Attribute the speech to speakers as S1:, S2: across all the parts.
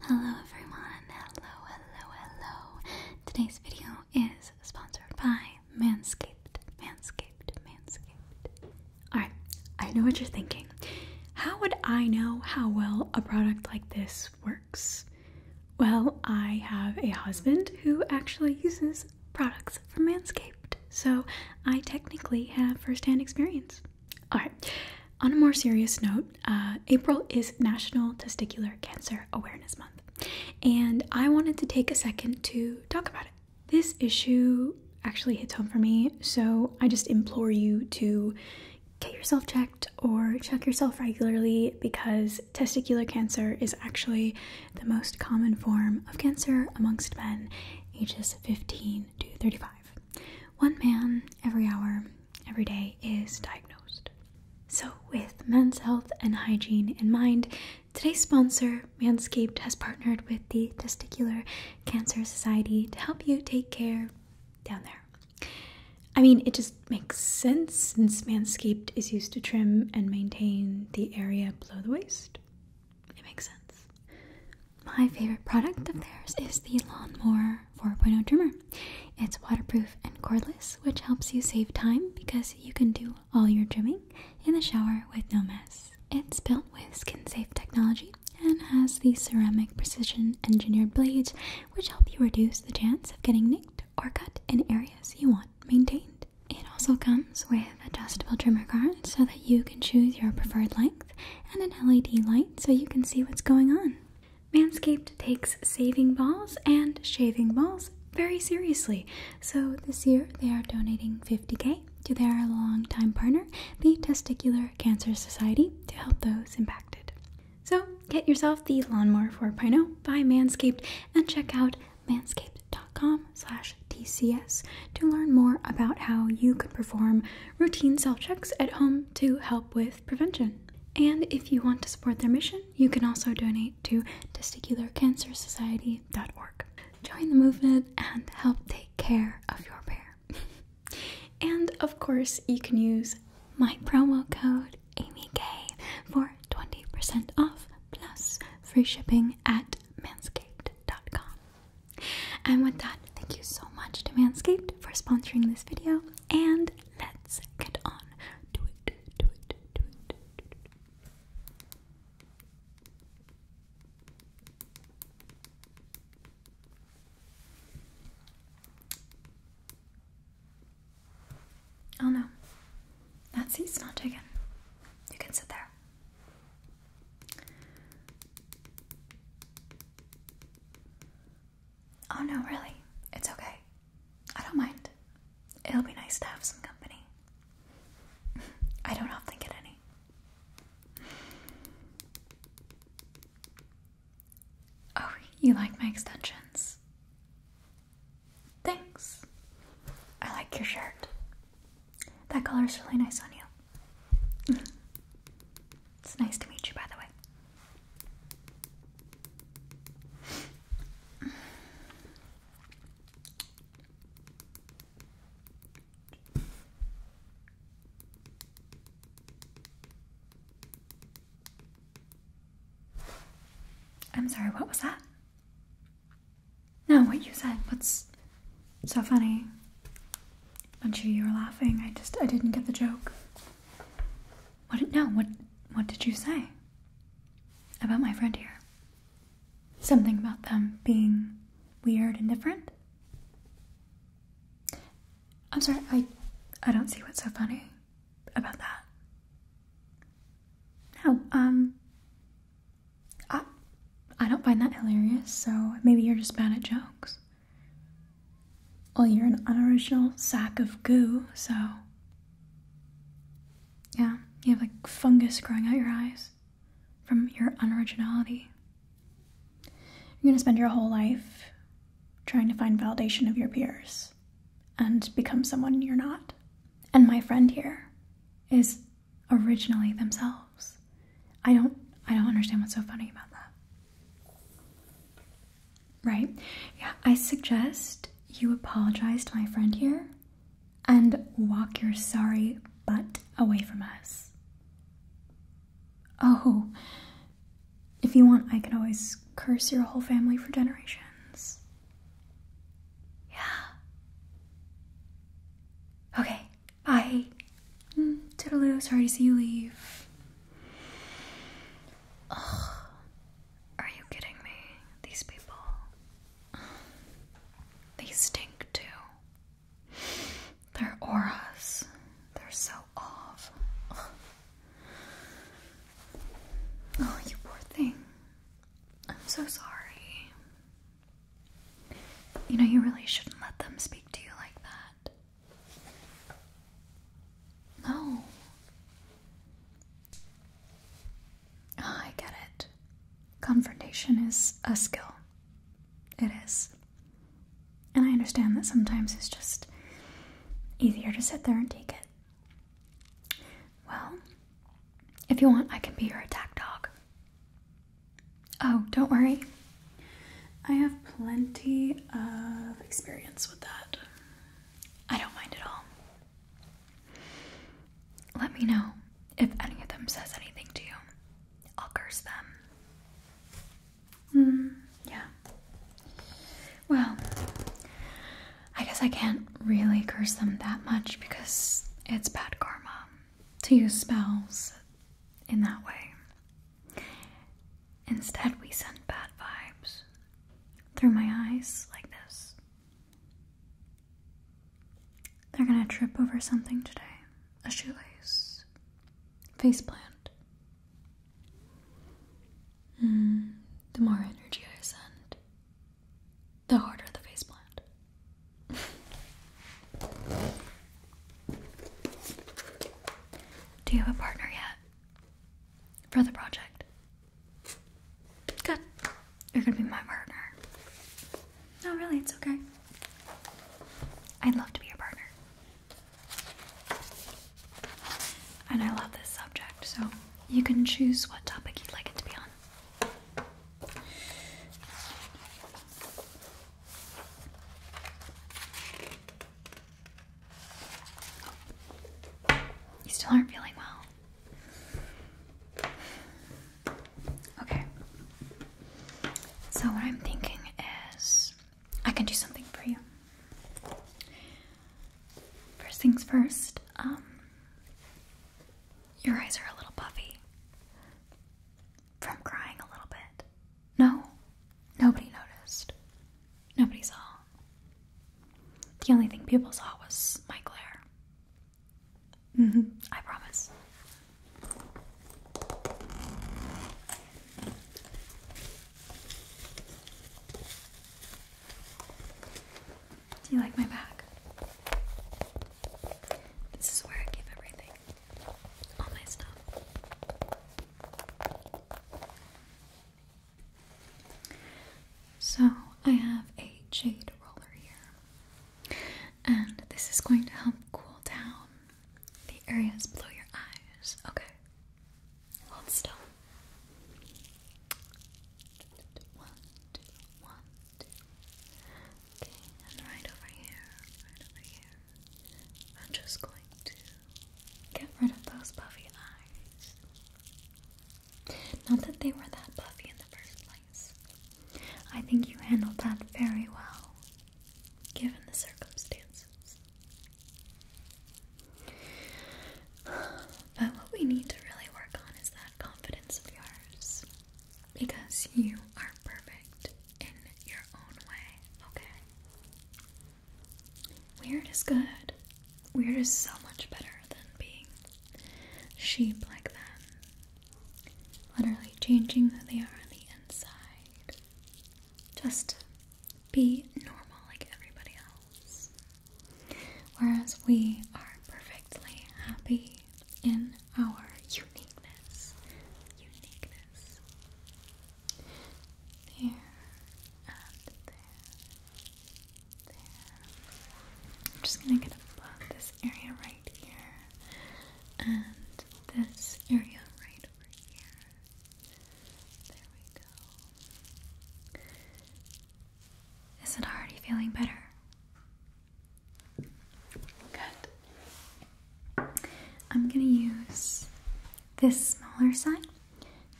S1: Hello everyone, hello, hello, hello. Today's video is sponsored by Manscaped, Manscaped, Manscaped. Alright, I know what you're thinking. How would I know how well a product like this works? Well, I have a husband who actually uses products from Manscaped, so I technically have first hand experience. All right. On a more serious note, uh, April is National Testicular Cancer Awareness Month, and I wanted to take a second to talk about it. This issue actually hits home for me, so I just implore you to get yourself checked or check yourself regularly because testicular cancer is actually the most common form of cancer amongst men ages 15 to 35. One man every hour every day is diagnosed. So, with men's health and hygiene in mind, today's sponsor, Manscaped, has partnered with the Testicular Cancer Society to help you take care down there. I mean, it just makes sense since Manscaped is used to trim and maintain the area below the waist. It makes
S2: sense. My favorite product of theirs is the
S1: Lawnmower 4.0 trimmer. It's waterproof and cordless, which helps you save time because you can do all your trimming in the shower with no mess. It's built with skin safe technology and has the ceramic precision engineered blades, which help you reduce the chance of getting nicked or cut in areas you want maintained. It also comes with adjustable trimmer guards so that you can choose your preferred length and an LED light so you can see what's going on. Manscaped takes shaving balls and shaving balls very seriously. So this year they are donating 50k to their longtime partner, the Testicular Cancer Society, to help those impacted. So get yourself the Lawnmower 4.0 by Manscaped and check out manscaped.com slash TCS to learn more about how you could perform routine self checks at home to help with prevention. And if you want to support their mission, you can also donate to testicularcancersociety.org. Join the movement and help take care of your pair. and of course, you can use my promo code AmyK for 20% off plus free shipping at manscaped.com. And with that, thank you so much to Manscaped for sponsoring this video, and let's get on to it, to it, to it. Oh no, that seat's not taken. You can sit there. Oh no, really. It's okay. I don't mind. It'll be nice to have some company. I don't often get any. Oh, you like my extensions? Thanks. I like your shirt. That is really nice on you. It's nice to meet you, by the way. I'm sorry, what was that? No, what you said. What's so funny? I'm sure you were laughing. I just I didn't get the joke. What? No. What? What did you say about my friend here? Something about them being weird and different. I'm sorry. I. I don't see what's so funny about that. No. Um. I. I don't find that hilarious. So maybe you're just bad at jokes. Well, you're an unoriginal sack of goo, so. Yeah, you have like fungus growing out your eyes from your unoriginality. You're gonna spend your whole life trying to find validation of your peers and become someone you're not. And my friend here is originally themselves. I don't I don't understand what's so funny about that. Right. Yeah, I suggest you apologize to my friend here and walk your sorry butt away from us. Oh, if you want, I can always curse your whole family for generations. Yeah. Okay, bye. Mm, sorry to see you leave. Ugh. Are you kidding me? These people. They stink too. Their auras. They're so off. Oh, you poor thing. I'm so sorry. You know, you really shouldn't let them speak to you like that. Oh, I get it. Confrontation is a skill. It is. And I understand that sometimes it's just easier to sit there and take it. Well, if you want, I can be your attack dog. Oh, don't worry. I have plenty of experience with that. I don't mind at all. Let me know if any of them says anything to you. I'll curse them. Mm, yeah. Well, I guess I can't really curse them that much because it's bad karma to use spells in that way. Instead, we send bad vibes through my eyes like this. They're gonna trip over something today a shoelace, faceplant. Mm, the more energy I send, the harder the faceplant. Do you have a partner yet? for the project. Good. You're gonna be my partner. No, really, it's okay. I'd love to be your partner. And I love this subject, so you can choose what topic you'd like it to be on. You still aren't feeling well. Okay. So, what I'm thinking is I can do something for you. First things first, um, your eyes are a little puffy from crying a little bit. No, nobody noticed. Nobody saw. The only thing people saw was my glare. Mm-hmm. I promise. Do you like my bag? This is where I keep everything. All my stuff. So I have a jade roller here, and this is going to help cool down the areas below your eyes. Okay, hold still. One, two, one, two. Okay, and right over here, right over here. I'm just going to Get rid of those puffy eyes. Not that they were that puffy in the first place. I think you handled that very well, given the circumstances. But what we need to really work on is that confidence of yours. Because you are perfect in your own way, okay? Weird is good. Weird is so much better than being sheep like them. Literally changing who they are on the inside. Just to be normal like everybody else. Whereas we are perfectly happy in our uniqueness. Uniqueness. There and there. I'm just gonna get above this area right here and this area right over here. There we go. Is it already feeling better? Good. I'm gonna use this smaller side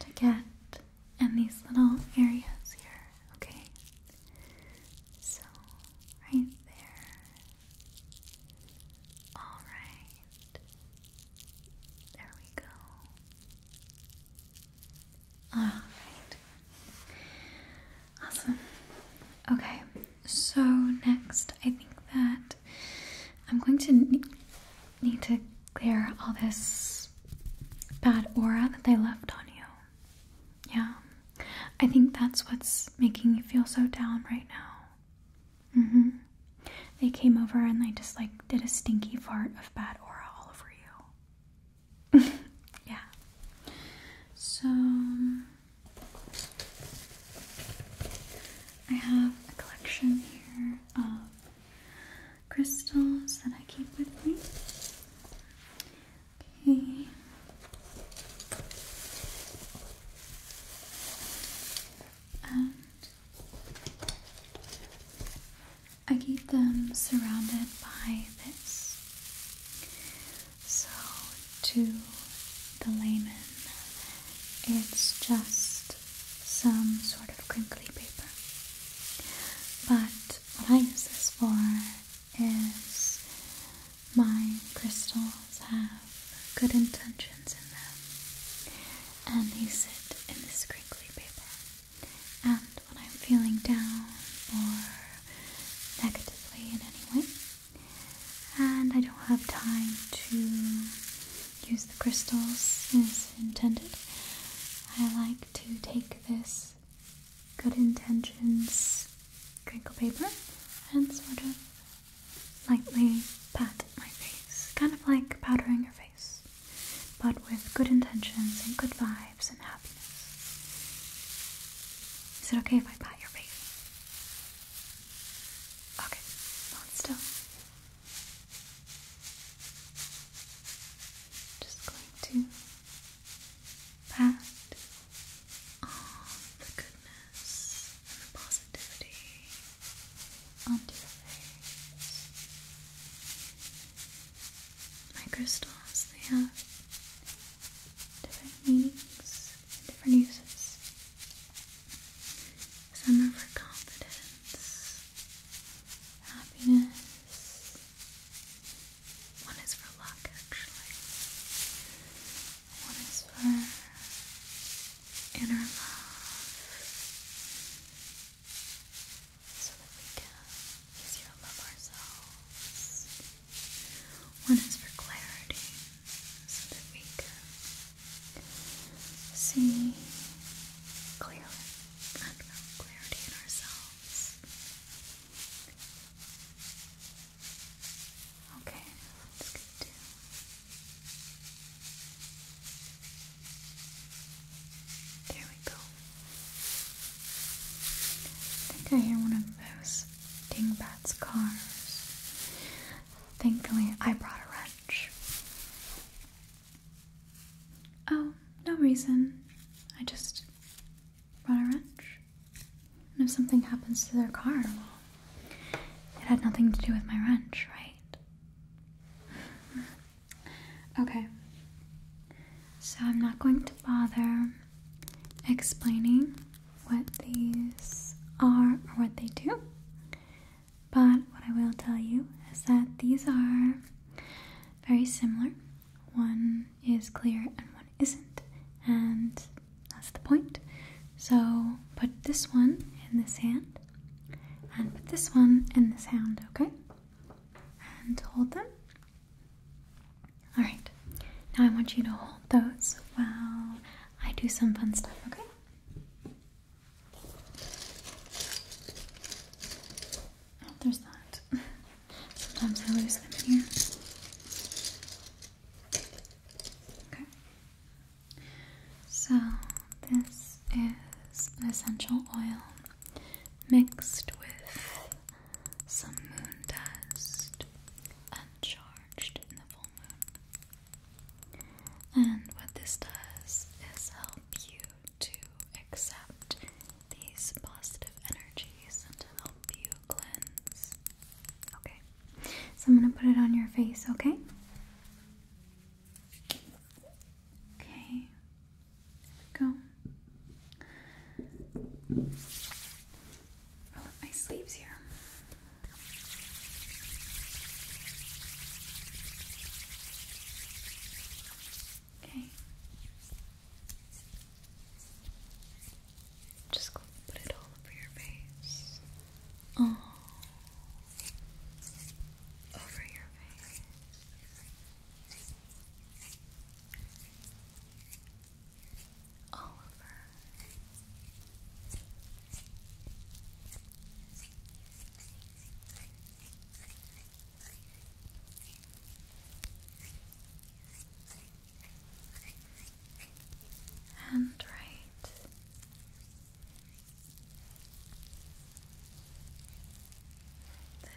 S1: to get and these little areas here, okay? So, right there. Alright. There we go. Alright. Awesome. Okay, so next I think that I'm going to need to clear all this bad aura that they left on you. Yeah. I think that's what's making you feel so down right now. Mm hmm. They came over and they just like did a stinky fart of bad aura all over you. yeah. So. I have a collection here of crystals that I keep with me. Okay. I keep them surrounded by this. So, to the layman, it's just some sort of crinkly paper. But what I use this for is my crystals have good intentions in them and they sit in this crinkly paper. And when I'm feeling down or negatively in any way, and I don't have time to use the crystals as intended. I like to take this good intentions crinkle paper and sort of lightly pat my face, kind of like powdering your face, but with good intentions and good vibes and happiness. Is it okay if I pat your face? Okay, hold still. Just going to pat all the goodness and positivity onto your face. My crystals, they have different meanings and different uses. Some are for confidence, happiness. One is for luck, actually. One is for inner love. So that we can easier love ourselves. One is for clarity, so that we can see clearly and real Okay, good There we go. I think I hear one of those dingbats' cars. Thankfully, I brought a wrench. Oh, no reason. I just brought a wrench. And if something happens to their car, it had nothing to do with my wrench, right? okay. So I'm not going to bother explaining what these are or what they do. But what I will tell you is that these are very similar. One is clear and one isn't, and that's the point. So put this one in this hand, and put this one in this hand, okay? And hold them. Alright, now I want you to hold those while I do some fun stuff, okay? Oh, there's that. Sometimes I lose them here. Okay. So, this is an essential oil mixed with some moon dust uncharged in the full moon. And what this does is help you to accept these positive energies and to help you cleanse. Okay, so I'm going to put it on your face, okay? Okay, there we go. Roll up my sleeves here. Okay. Just put it all over your face. Oh. Over your face. All over and right. There.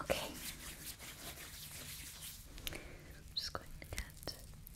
S1: Okay. i just going to get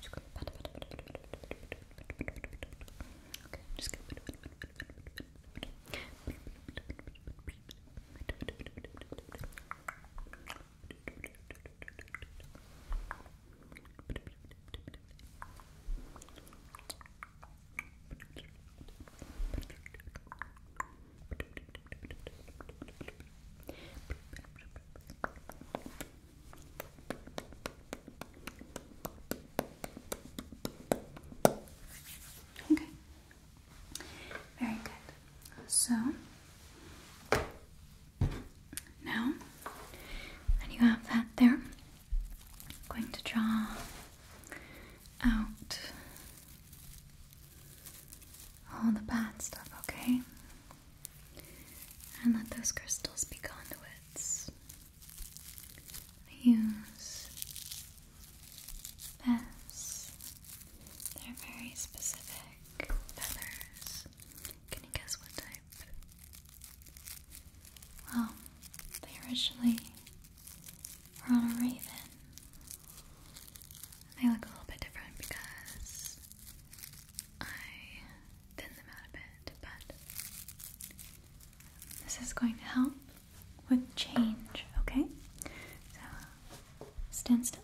S1: Just gonna pat, pat, pat, pat, pat, Okay, I'm just gonna Okay, Okay. Very good. So now that you have that there, going to draw out all the bad stuff, okay? and let those crystals be conduits. use this. They're very specific feathers. Can you guess what type? Well, they originally were on a raven. They look a little bit different because I thin them out a bit, but this is going to help with change, okay? So stand still.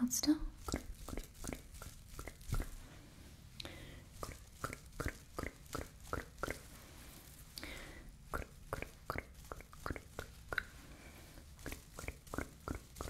S1: Hold still.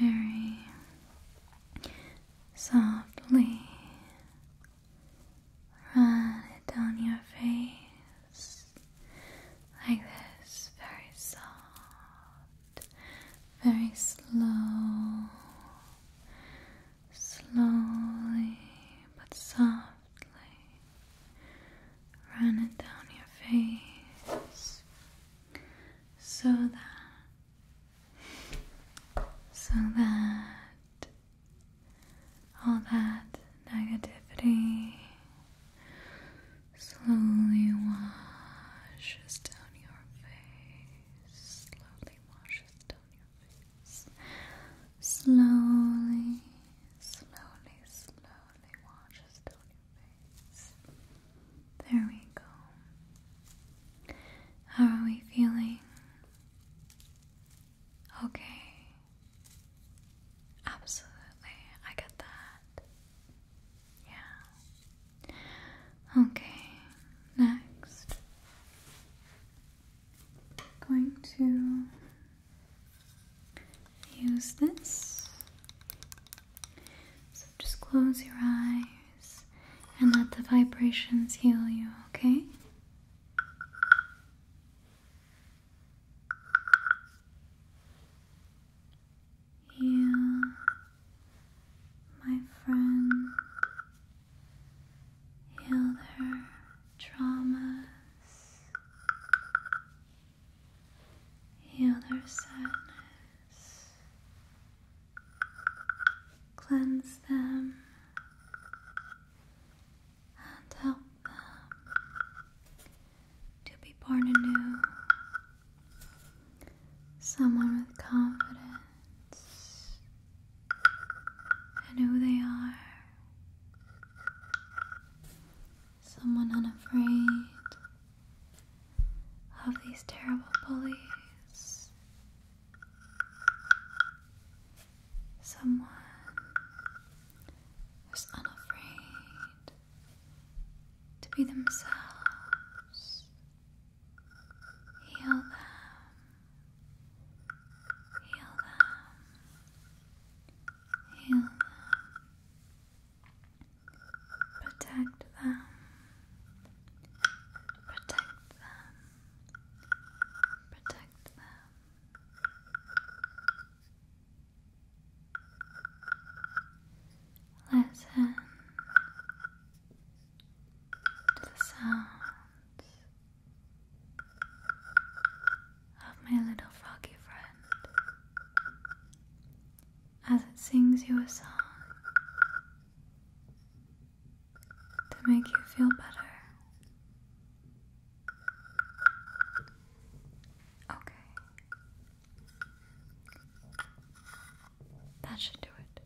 S1: very softly run it down your face like this, very soft, very slow, slowly but softly. Run it down your face so that so that all that negativity slowly washes down your face slowly washes down your face slowly slowly slowly there we go. How are we feeling? Okay. Absolutely. I get that. Yeah. Okay. Next. Going to use this. So just close your eyes and let the vibrations heal you, okay? Heal, my friend. Heal their traumas. Heal their sadness. Cleanse them and help them to be born anew. Someone with confidence and who they are someone unafraid of these terrible bullies, someone who's unafraid to be themselves, heal them, heal them, heal them. Protect them. Protect them. Protect them. Listen to the sounds of my little froggy friend as it sings you a song to make you feel better. Okay. That should do it.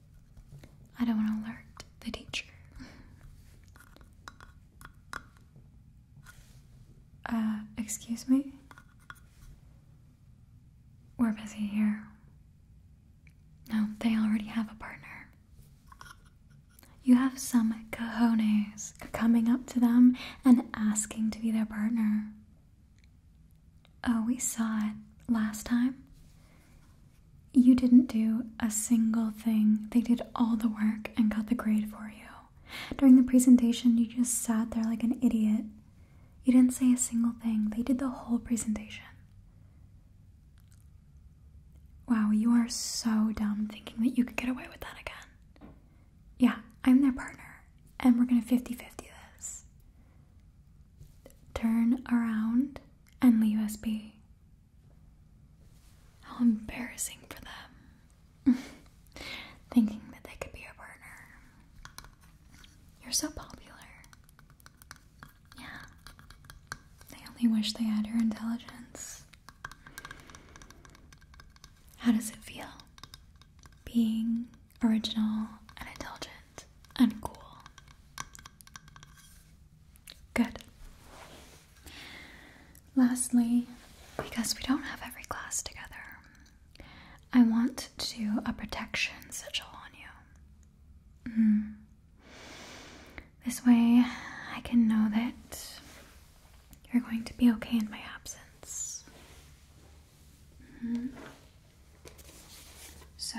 S1: I don't want to alert the teacher. Uh, excuse me? We're busy here. No, they already have a partner. You have some cojones coming up to them and asking to be their partner. Oh, we saw it last time. You didn't do a single thing. They did all the work and got the grade for you. During the presentation, you just sat there like an idiot. You didn't say a single thing. They did the whole presentation. Wow, you are so dumb thinking that you could get away with that again. Yeah, I'm their partner, and we're gonna 50 50 this. Turn around and leave us be. How embarrassing for them. Thinking that they could be your partner. You're so popular. Yeah. They only wish they had your intelligence. How does it feel? Being original and intelligent and cool. Good. Lastly, because we don't have every class together, I want to a protection sigil on you. Hmm. This way, I can know that you're going to be okay in my absence. Hmm. So,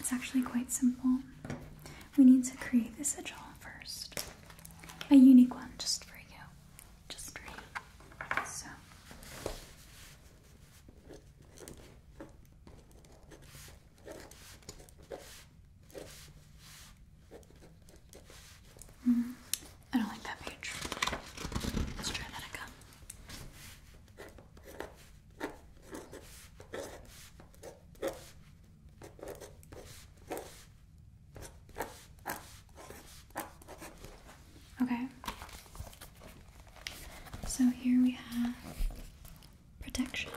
S1: it's actually quite simple. We need to create the sigil first, a unique one just for you just three. So. Mm-hmm. I don't like that page. Let's try that again. Okay. So here we have protection.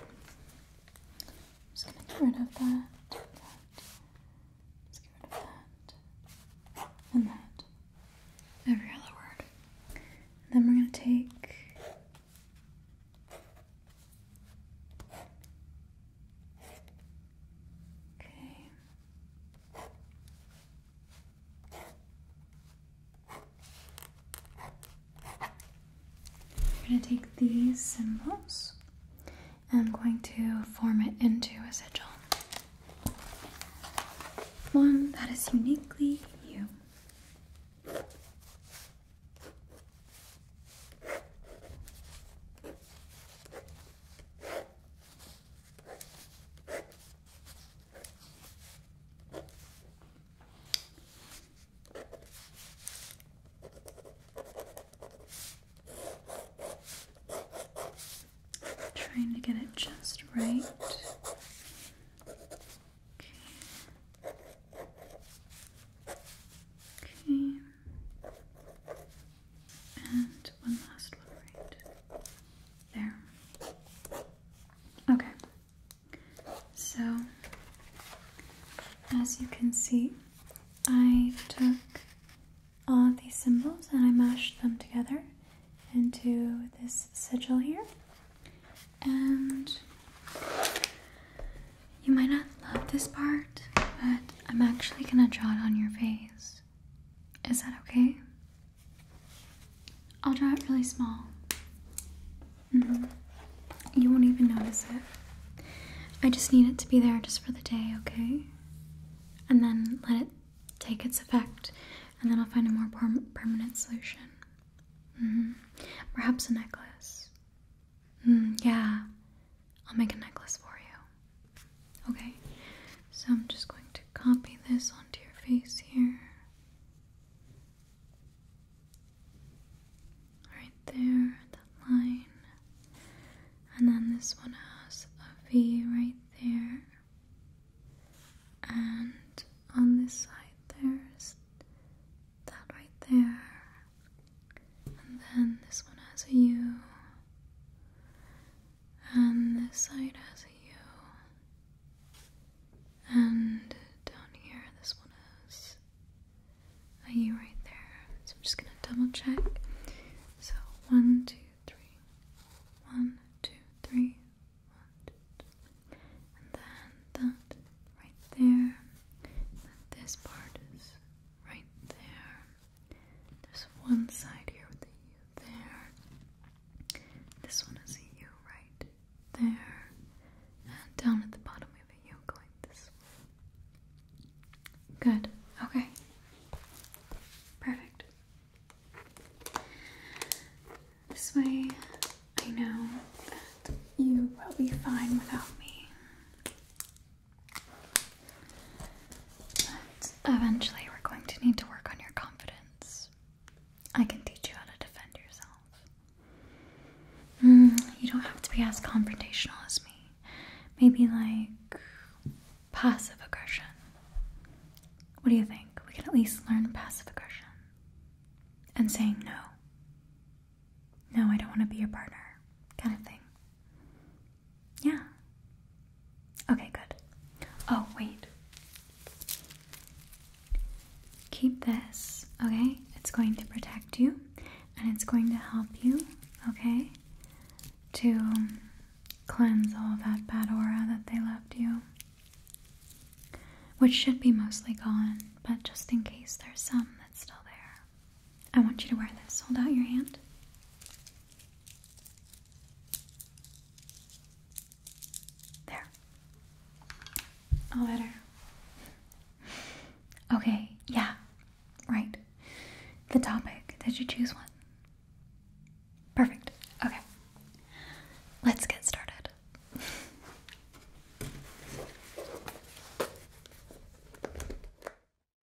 S1: just gonna get rid of that, get rid of that. And that. Every other word. then we're gonna take Okay. I'm going to take these symbols and I'm going to form it into a sigil. One that is uniquely you. Trying to get it just right. Okay. Okay. And one last one right there. Okay. So, as you can see, I took all these symbols and I mashed them together into this sigil here. And you might not love this part, but I'm actually gonna draw it on your face. Is that okay? I'll draw it really small. Mm-hmm. You won't even notice it. I just need it to be there just for the day, okay? And then let it take its effect, and then I'll find a more permanent solution. -hmm. Perhaps a necklace. Mm, yeah, I'll make a necklace for you. Okay? So I'm just going to copy this onto your face here. Right there, that line. And then this one has a V right there. And on this side, there's that right there and then this one has a U, and this side has a U, and down here this one has a U right there. So I'm just gonna double check. So one, two, three, one, two, three, one, two, three, and then that right there. And this part is right there. There's one side here with the U there. This one is a U right there. And down at the bottom we have a U going this way. Good. Okay. Perfect. This way I know that you will be fine without me eventually, we're going to need to work on your confidence. I can teach you how to defend yourself. Hmm, you don't have to be as confrontational as me. Maybe like passive aggression. What do you think? We can at least learn passive aggression and saying no. No, I don't want to be your partner, kind of thing. Yeah. Okay, good. Oh, wait. Keep this, okay? It's going to protect you and it's going to help you, okay? To cleanse all that bad aura that they left you. Which should be mostly gone, but just in case there's some that's still there. I want you to wear this. Hold out your hand. There. All better. Okay, yeah, right. The topic. Did you choose one? Perfect. Okay. Let's get started.